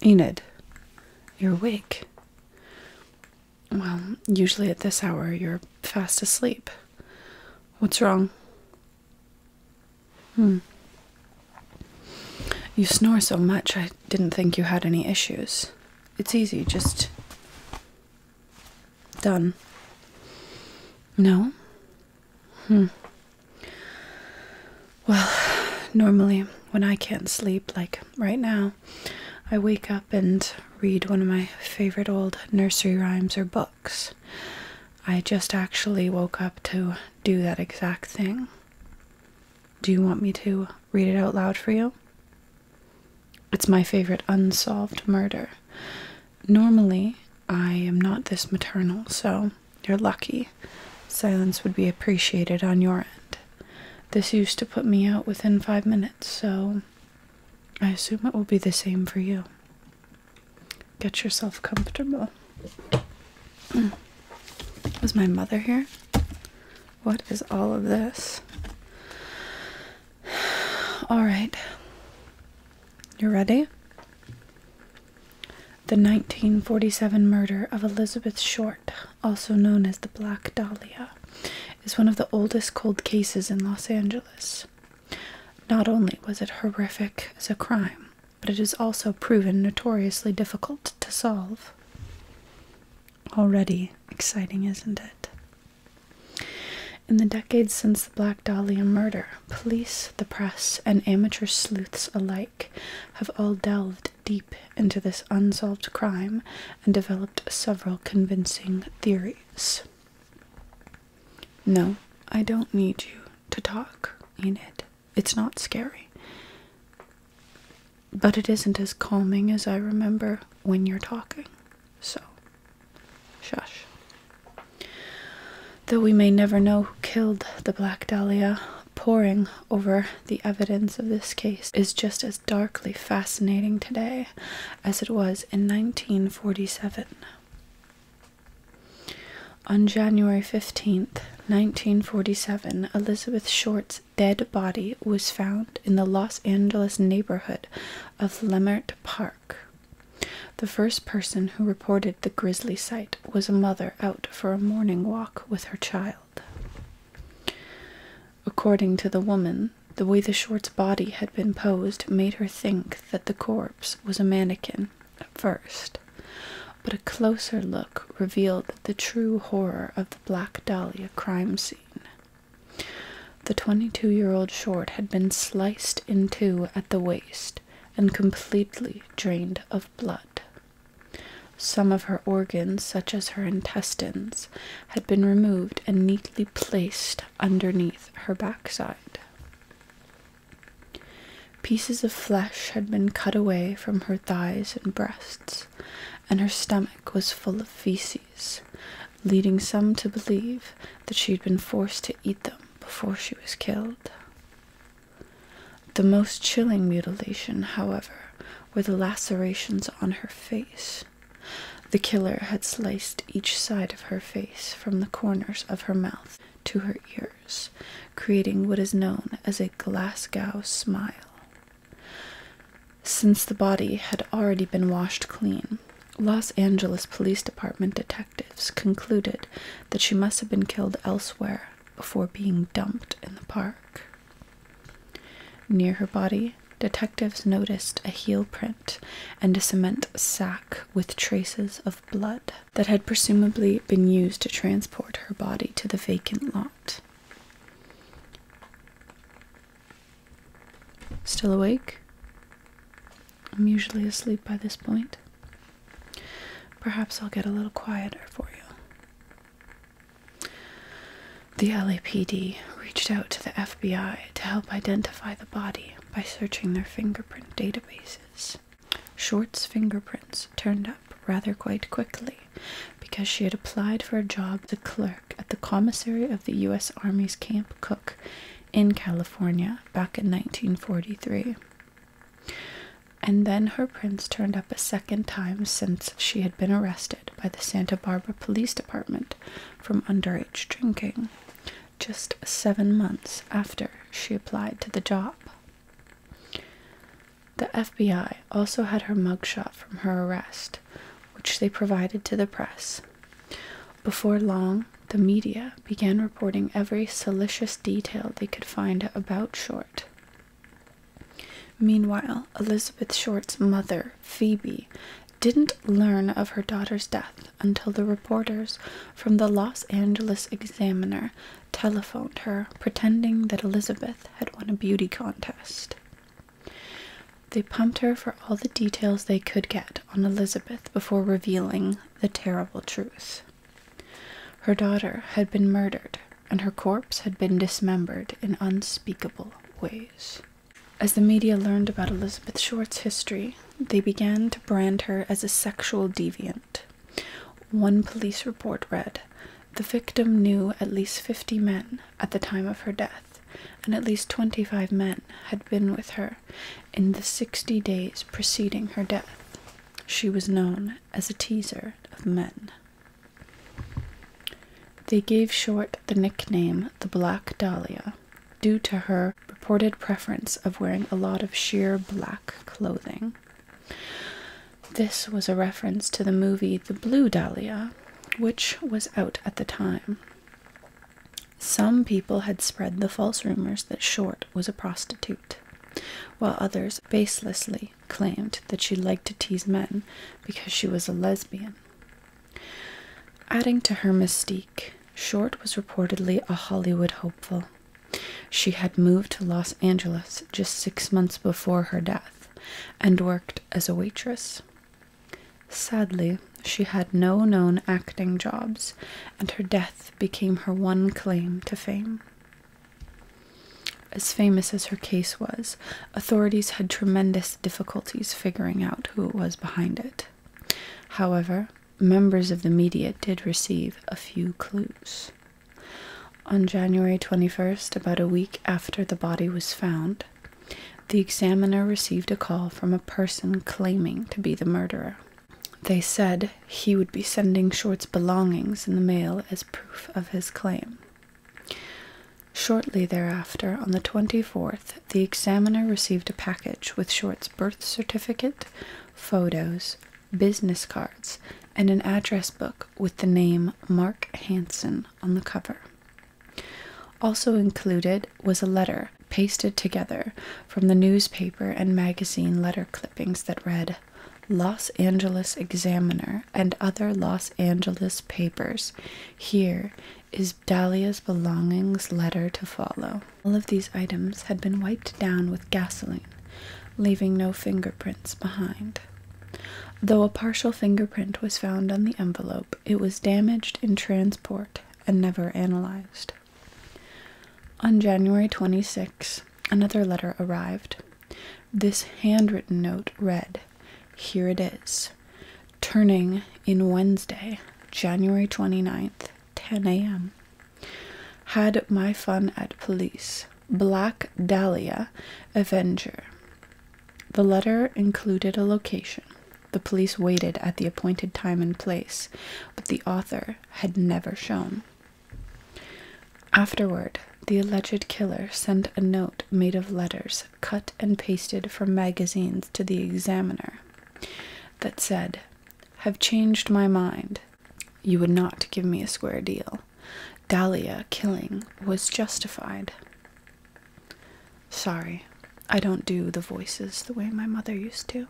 Enid, you're awake. Well, usually at this hour you're fast asleep. What's wrong? Hmm. You snore so much, I didn't think you had any issues. It's easy, just. Done. No? Hmm. Well, normally when I can't sleep, like right now, I wake up and read one of my favorite old nursery rhymes or books. I just actually woke up to do that exact thing. Do you want me to read it out loud for you? It's my favorite unsolved murder. Normally, I am not this maternal, so you're lucky. Silence would be appreciated on your end. This used to put me out within five minutes, so I assume it will be the same for you. Get yourself comfortable. Was mm. my mother here? What is all of this? All right. You ready? The 1947 murder of Elizabeth Short, also known as the Black Dahlia, is one of the oldest cold cases in Los Angeles. Not only was it horrific as a crime, but it has also proven notoriously difficult to solve. Already exciting, isn't it? In the decades since the Black Dahlia murder, police, the press, and amateur sleuths alike have all delved deep into this unsolved crime and developed several convincing theories. No, I don't need you to talk in it. It's not scary. But it isn't as calming as I remember when you're talking. So, shush. Though we may never know who killed the Black Dahlia, poring over the evidence of this case is just as darkly fascinating today as it was in 1947. On January fifteenth, 1947, Elizabeth Short's dead body was found in the Los Angeles neighborhood of Lemert Park. The first person who reported the grisly sight was a mother out for a morning walk with her child. According to the woman, the way the short's body had been posed made her think that the corpse was a mannequin at first, but a closer look revealed the true horror of the Black Dahlia crime scene. The 22 year old short had been sliced in two at the waist and completely drained of blood. Some of her organs, such as her intestines, had been removed and neatly placed underneath her backside. Pieces of flesh had been cut away from her thighs and breasts, and her stomach was full of feces, leading some to believe that she had been forced to eat them before she was killed. The most chilling mutilation, however, were the lacerations on her face. The killer had sliced each side of her face from the corners of her mouth to her ears, creating what is known as a Glasgow smile. Since the body had already been washed clean, Los Angeles Police Department detectives concluded that she must have been killed elsewhere before being dumped in the park. Near her body, detectives noticed a heel print and a cement sack with traces of blood that had presumably been used to transport her body to the vacant lot. Still awake? I'm usually asleep by this point. Perhaps I'll get a little quieter for you. The LAPD reached out to the FBI to help identify the body by searching their fingerprint databases. Short's fingerprints turned up rather quite quickly because she had applied for a job as a clerk at the commissary of the U.S. Army's Camp Cook in California back in 1943. And then her prints turned up a second time since she had been arrested by the Santa Barbara Police Department from underage drinking just seven months after she applied to the job. The FBI also had her mugshot from her arrest, which they provided to the press. Before long, the media began reporting every salacious detail they could find about Short. Meanwhile, Elizabeth Short's mother, Phoebe, didn't learn of her daughter's death until the reporters from the Los Angeles Examiner telephoned her, pretending that Elizabeth had won a beauty contest. They pumped her for all the details they could get on Elizabeth before revealing the terrible truth. Her daughter had been murdered, and her corpse had been dismembered in unspeakable ways. As the media learned about Elizabeth Short's history, they began to brand her as a sexual deviant. One police report read the victim knew at least 50 men at the time of her death, and at least 25 men had been with her in the 60 days preceding her death. She was known as a teaser of men. They gave Short the nickname the Black Dahlia due to her purported preference of wearing a lot of sheer black clothing. This was a reference to the movie The Blue Dahlia, which was out at the time. Some people had spread the false rumors that Short was a prostitute, while others baselessly claimed that she liked to tease men because she was a lesbian. Adding to her mystique, Short was reportedly a Hollywood hopeful. She had moved to Los Angeles just six months before her death and worked as a waitress. Sadly, she had no known acting jobs, and her death became her one claim to fame. As famous as her case was, authorities had tremendous difficulties figuring out who it was behind it. However, members of the media did receive a few clues. On January 21st, about a week after the body was found, the examiner received a call from a person claiming to be the murderer. They said he would be sending Short's belongings in the mail as proof of his claim. Shortly thereafter, on the 24th, the examiner received a package with Short's birth certificate, photos, business cards, and an address book with the name Mark Hanson on the cover. Also included was a letter pasted together from the newspaper and magazine letter clippings that read Los Angeles Examiner and other Los Angeles papers. Here is is Dahlia's belongings letter to follow. All of these items had been wiped down with gasoline, leaving no fingerprints behind. Though a partial fingerprint was found on the envelope, it was damaged in transport and never analyzed. On January 26, another letter arrived. This handwritten note read here it is. Turning in Wednesday, January 29th, 10 a.m. Had my fun at police. Black Dahlia Avenger. The letter included a location. The police waited at the appointed time and place, but the author had never shown. Afterward, the alleged killer sent a note made of letters cut and pasted from magazines to the examiner that said, Have changed my mind. You would not give me a square deal. Dahlia killing was justified. Sorry, I don't do the voices the way my mother used to.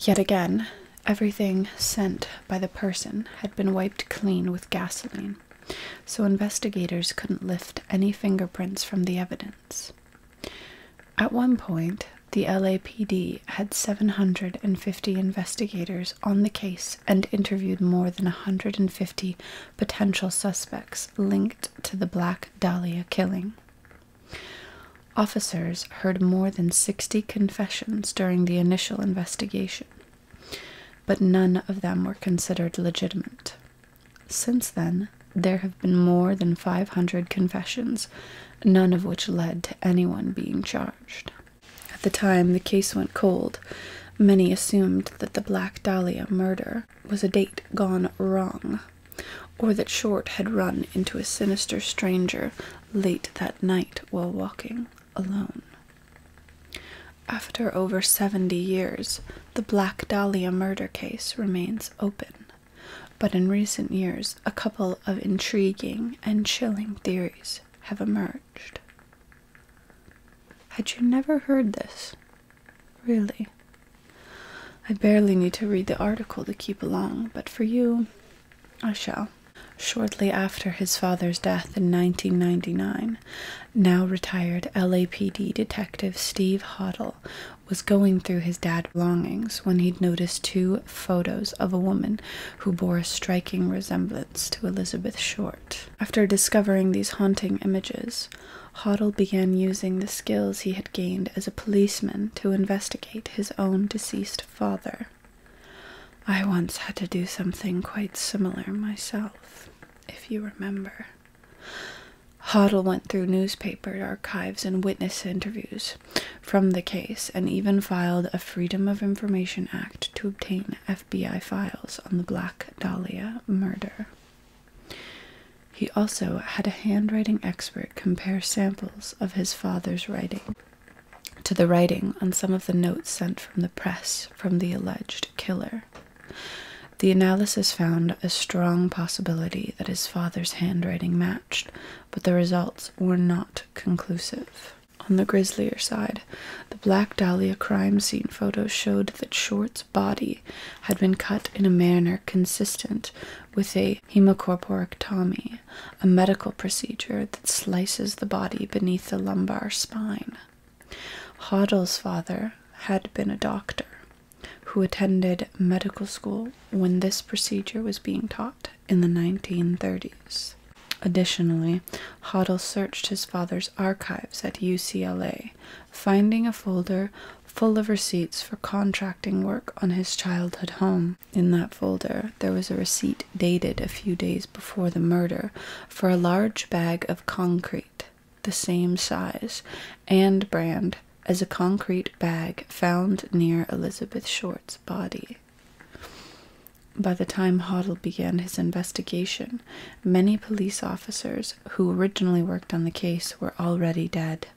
Yet again, everything sent by the person had been wiped clean with gasoline so investigators couldn't lift any fingerprints from the evidence. At one point, the LAPD had 750 investigators on the case and interviewed more than 150 potential suspects linked to the Black Dahlia killing. Officers heard more than 60 confessions during the initial investigation, but none of them were considered legitimate. Since then, there have been more than 500 confessions, none of which led to anyone being charged. At the time the case went cold, many assumed that the Black Dahlia murder was a date gone wrong, or that Short had run into a sinister stranger late that night while walking alone. After over 70 years, the Black Dahlia murder case remains open, but in recent years, a couple of intriguing and chilling theories have emerged. Had you never heard this? Really? I barely need to read the article to keep along, but for you, I shall. Shortly after his father's death in 1999, now retired LAPD detective Steve Hoddle was going through his dad's belongings when he noticed two photos of a woman who bore a striking resemblance to Elizabeth Short. After discovering these haunting images, Hoddle began using the skills he had gained as a policeman to investigate his own deceased father. I once had to do something quite similar myself if you remember. Hoddle went through newspaper archives and witness interviews from the case and even filed a Freedom of Information Act to obtain FBI files on the Black Dahlia murder. He also had a handwriting expert compare samples of his father's writing to the writing on some of the notes sent from the press from the alleged killer. The analysis found a strong possibility that his father's handwriting matched, but the results were not conclusive. On the grislier side, the Black Dahlia crime scene photos showed that Short's body had been cut in a manner consistent with a hemicorporectomy, a medical procedure that slices the body beneath the lumbar spine. Hodel's father had been a doctor who attended medical school when this procedure was being taught in the 1930s. Additionally, Hoddle searched his father's archives at UCLA, finding a folder full of receipts for contracting work on his childhood home. In that folder, there was a receipt dated a few days before the murder for a large bag of concrete, the same size and brand as a concrete bag found near Elizabeth Short's body. By the time Hoddle began his investigation, many police officers who originally worked on the case were already dead.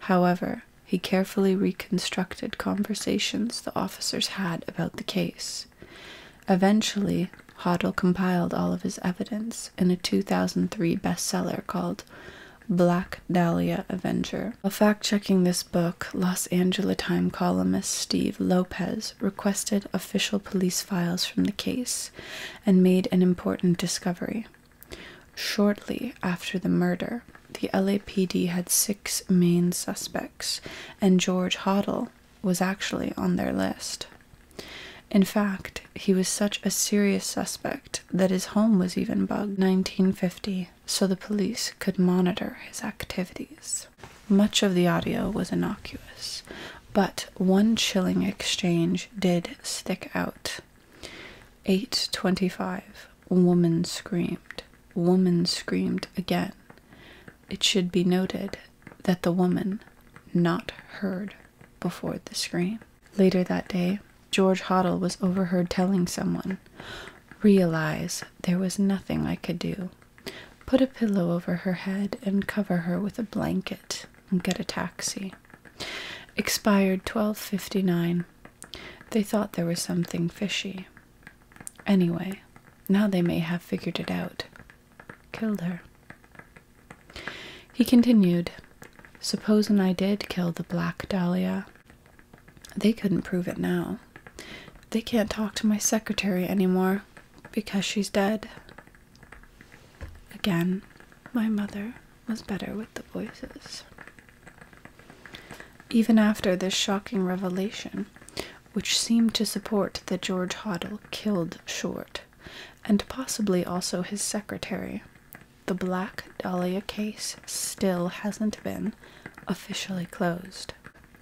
However, he carefully reconstructed conversations the officers had about the case. Eventually, Hoddle compiled all of his evidence in a 2003 bestseller called Black Dahlia Avenger. While fact checking this book, Los Angeles Times columnist Steve Lopez requested official police files from the case and made an important discovery. Shortly after the murder, the LAPD had six main suspects, and George Hoddle was actually on their list. In fact, he was such a serious suspect that his home was even bugged 1950 so the police could monitor his activities. Much of the audio was innocuous, but one chilling exchange did stick out. 8:25 woman screamed. Woman screamed again. It should be noted that the woman not heard before the scream. Later that day, George Hoddle was overheard telling someone, Realize there was nothing I could do. Put a pillow over her head and cover her with a blanket and get a taxi. Expired 1259. They thought there was something fishy. Anyway, now they may have figured it out. Killed her. He continued, "Supposin' I did kill the Black Dahlia? They couldn't prove it now. They can't talk to my secretary any more because she's dead. Again, my mother was better with the voices. Even after this shocking revelation, which seemed to support that George Hoddle killed Short, and possibly also his secretary. The Black Dahlia case still hasn't been officially closed.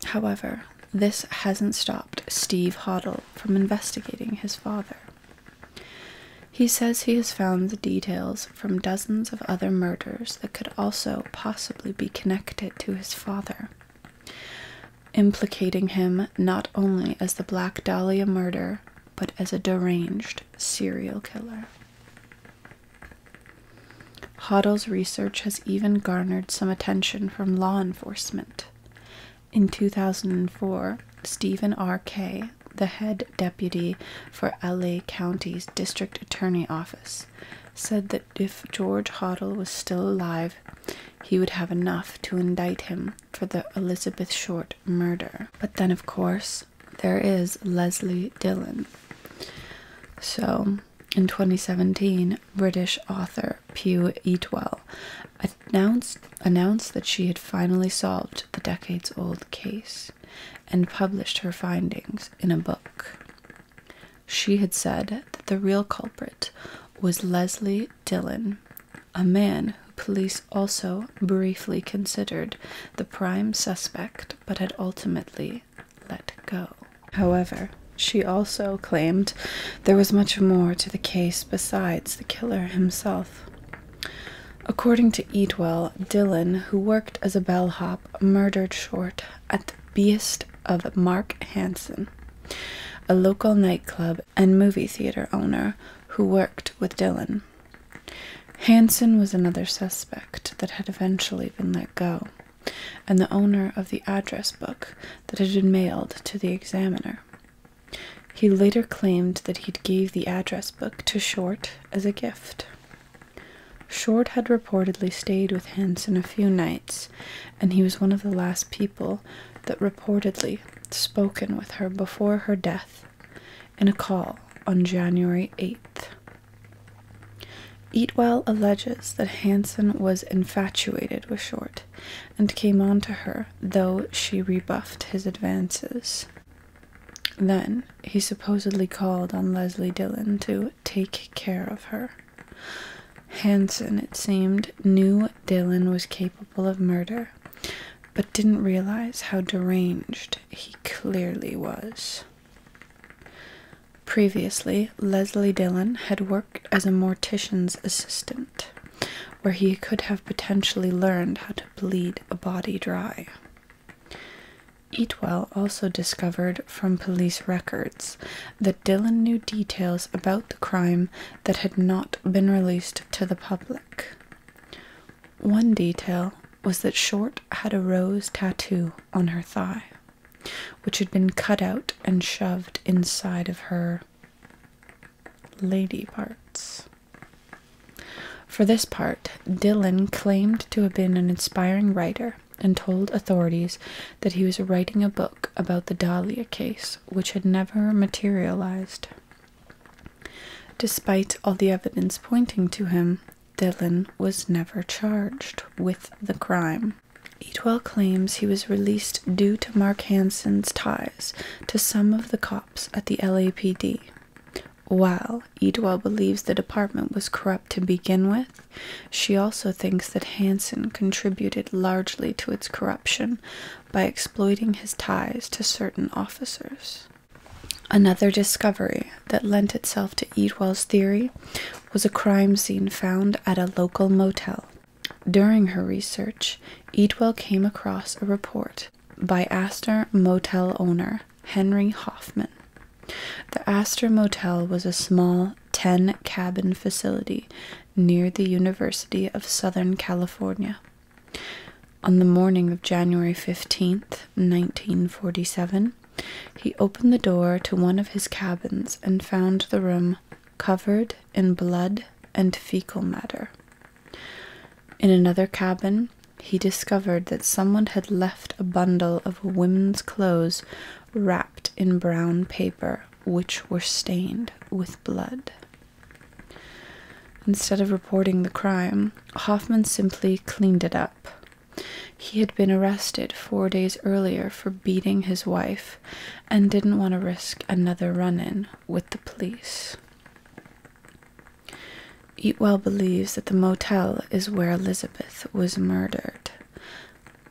However, this hasn't stopped Steve Hoddle from investigating his father. He says he has found details from dozens of other murders that could also possibly be connected to his father implicating him not only as the Black Dahlia murder, but as a deranged serial killer. Hoddle's research has even garnered some attention from law enforcement. In 2004, Stephen R. Kay, the head deputy for LA County's District Attorney Office, said that if George Hoddle was still alive, he would have enough to indict him for the Elizabeth Short murder. But then, of course, there is Leslie Dillon. So, in 2017, British author Pew Eatwell announced, announced that she had finally solved the decades old case and published her findings in a book. She had said that the real culprit was Leslie Dillon, a man who police also briefly considered the prime suspect but had ultimately let go. However, she also claimed there was much more to the case besides the killer himself. According to Eatwell, Dillon, who worked as a bellhop, murdered Short at Beast of Mark Hansen, a local nightclub and movie theater owner who worked with Dylan. Hansen was another suspect that had eventually been let go, and the owner of the address book that had been mailed to the examiner. He later claimed that he would gave the address book to Short as a gift. Short had reportedly stayed with Hanson a few nights, and he was one of the last people that reportedly spoken with her before her death in a call on January 8th. Eatwell alleges that Hanson was infatuated with Short and came on to her, though she rebuffed his advances. Then he supposedly called on Leslie Dillon to take care of her. Hanson, it seemed, knew Dylan was capable of murder, but didn't realize how deranged he clearly was. Previously, Leslie Dillon had worked as a mortician's assistant, where he could have potentially learned how to bleed a body dry. Eatwell also discovered from police records that Dillon knew details about the crime that had not been released to the public. One detail was that Short had a rose tattoo on her thigh, which had been cut out and shoved inside of her lady parts. For this part, Dillon claimed to have been an inspiring writer and told authorities that he was writing a book about the Dahlia case, which had never materialized. Despite all the evidence pointing to him, Dillon was never charged with the crime. Eatwell claims he was released due to Mark Hansen's ties to some of the cops at the LAPD, while Edwell believes the department was corrupt to begin with, she also thinks that Hanson contributed largely to its corruption by exploiting his ties to certain officers. Another discovery that lent itself to Edwell's theory was a crime scene found at a local motel. During her research, Edwell came across a report by Astor motel owner Henry Hoffman. The Astor Motel was a small 10 cabin facility near the University of Southern California. On the morning of January 15th, 1947, he opened the door to one of his cabins and found the room covered in blood and fecal matter. In another cabin, he discovered that someone had left a bundle of women's clothes wrapped in brown paper, which were stained with blood. Instead of reporting the crime, Hoffman simply cleaned it up. He had been arrested four days earlier for beating his wife and didn't want to risk another run in with the police. Eatwell believes that the motel is where Elizabeth was murdered.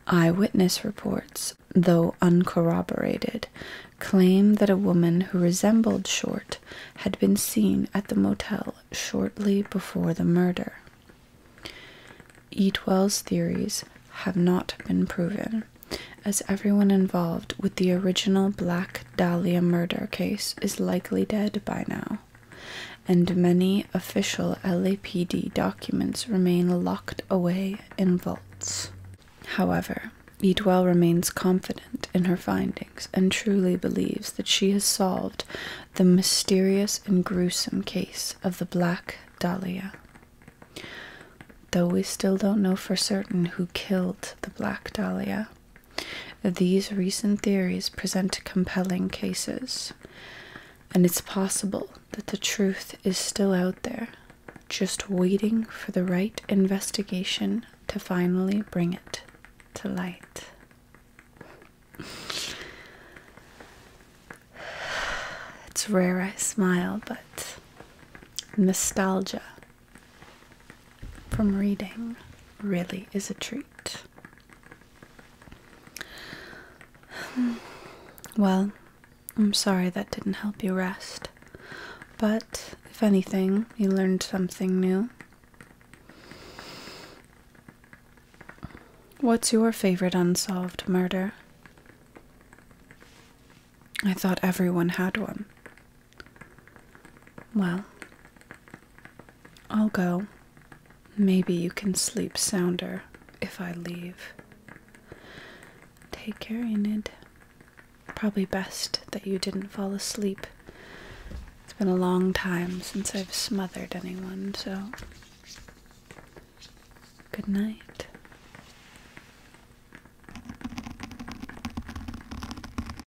Eyewitness reports, though uncorroborated, claim that a woman who resembled Short had been seen at the motel shortly before the murder. Eatwell's theories have not been proven, as everyone involved with the original Black Dahlia murder case is likely dead by now and many official LAPD documents remain locked away in vaults. However, Edwell remains confident in her findings and truly believes that she has solved the mysterious and gruesome case of the Black Dahlia. Though we still don't know for certain who killed the Black Dahlia, these recent theories present compelling cases, and it's possible that the truth is still out there, just waiting for the right investigation to finally bring it to light. It's rare I smile, but nostalgia from reading really is a treat. Well, I'm sorry that didn't help you rest, but if anything, you learned something new. What's your favorite unsolved murder? I thought everyone had one. Well, I'll go. Maybe you can sleep sounder if I leave. Take care, Enid. Probably best that you didn't fall asleep. It's been a long time since I've smothered anyone, so. Good night.